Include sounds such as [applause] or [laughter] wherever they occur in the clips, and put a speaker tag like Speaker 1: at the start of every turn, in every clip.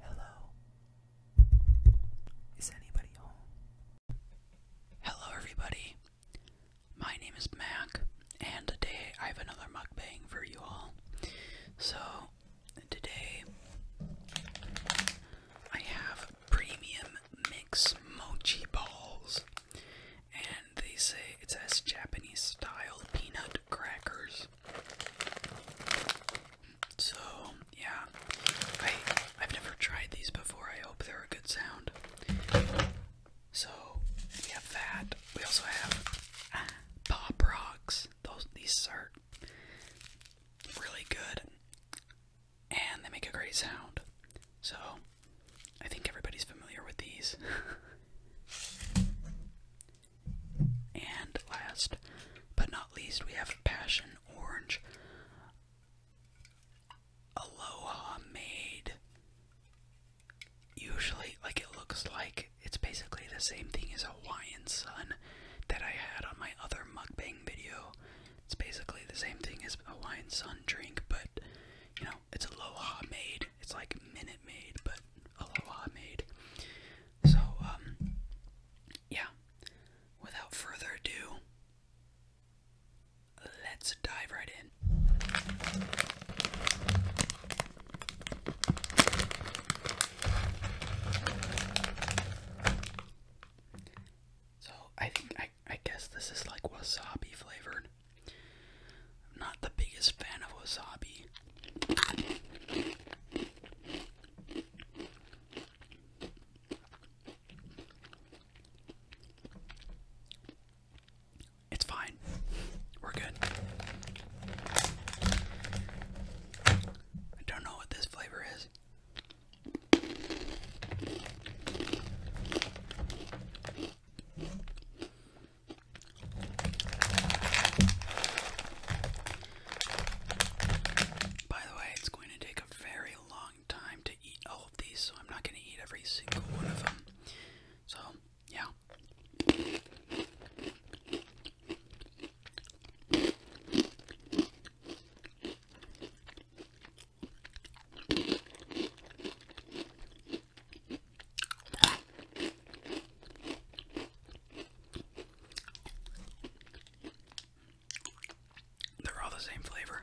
Speaker 1: Hello. Is anybody home? Hello, everybody. My name is Mac, and today I have another mukbang for you all. So, today I have premium mix mochi balls, and they say it's as Japanese style peanut crackers. So yeah, I I've never tried these before. I hope they're a good sound. So we have that. We also have Pop Rocks. Those these are really good, and they make a great sound. So I think everybody's familiar with these. [laughs] And last but not least, we have Passion Orange Aloha Made. Usually, like it looks like it's basically the same thing as Hawaiian Sun that I had on my other mugbang video. It's basically the same thing as Hawaiian Sun drink, but you know, it's Aloha Made. It's like Minute made, but Aloha Made. So, um, yeah. Without further ado, let's dive right in. So I think I I guess this is like wasabi flavored. I'm not the biggest fan of wasabi. It's fine. We're good. I don't know what this flavor is. By the way, it's going to take a very long time to eat all of these, so I'm not going to eat every single one of them. So, yeah. They're all the same flavor.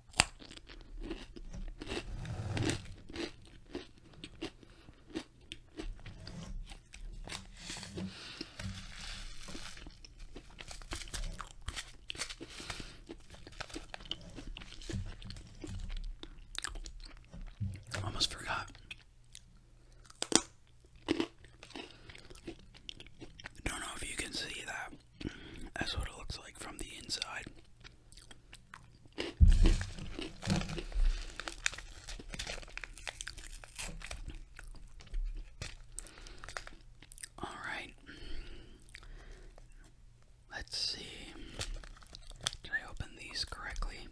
Speaker 1: Almost forgot. Don't know if you can see that. That's what it looks like from the inside. All right. Let's see. Did I open these correctly?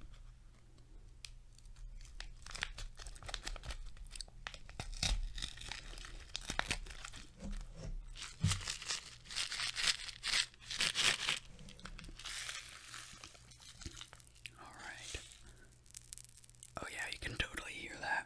Speaker 1: All right. Oh, yeah, you can totally hear that.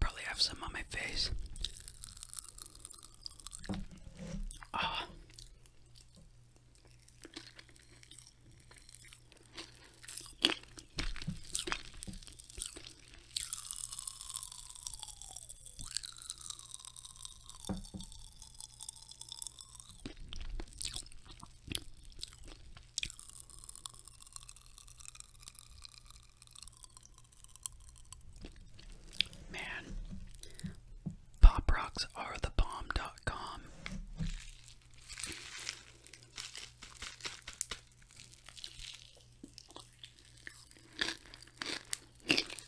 Speaker 1: Probably have some on my face. Ah. Man, pop rocks are the bomb. dot com.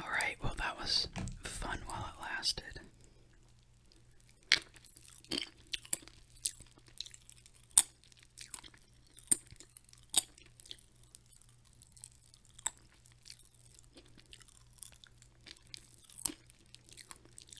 Speaker 1: Alright, well, that was fun while it lasted.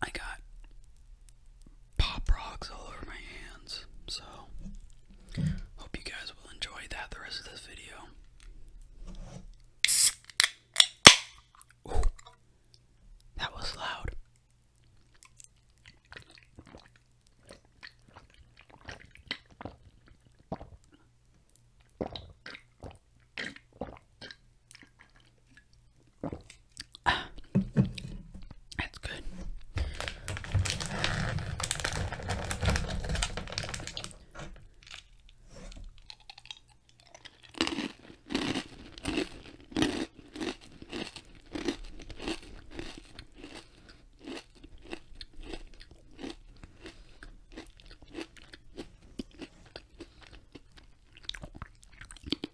Speaker 1: I got pop rocks all over my hands, so hope you guys will enjoy that the rest of this video. that was loud. Ah, that's good.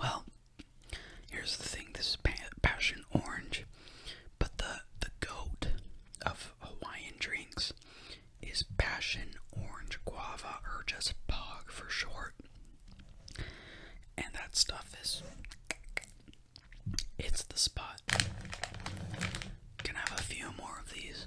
Speaker 1: Well, here's the thing this is passion orange. But the the goat of Hawaiian drinks is passion orange guava or just POG for short. And that stuff is it's the spot. Can I have a few more of these?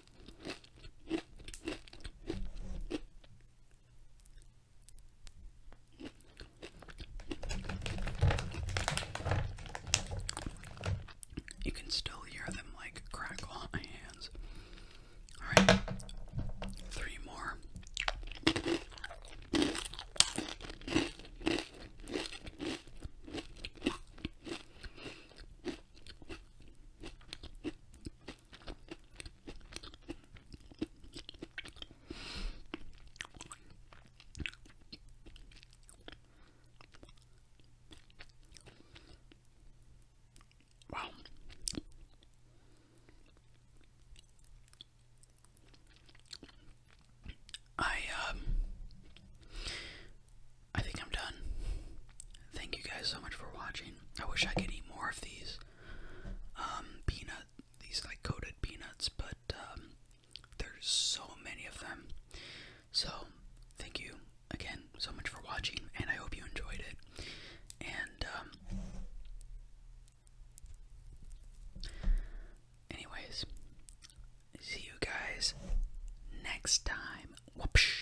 Speaker 1: You can still hear them like crackle on my hands. Alright, three more. Wow. I um I think I'm done. Thank you guys so much for watching. I wish I could eat more of these um, peanut, these like coated peanuts, but um, there's so many of them. So thank you again so much for watching, and I hope you enjoyed it. And um, anyways, see you guys next time. Whoopsh.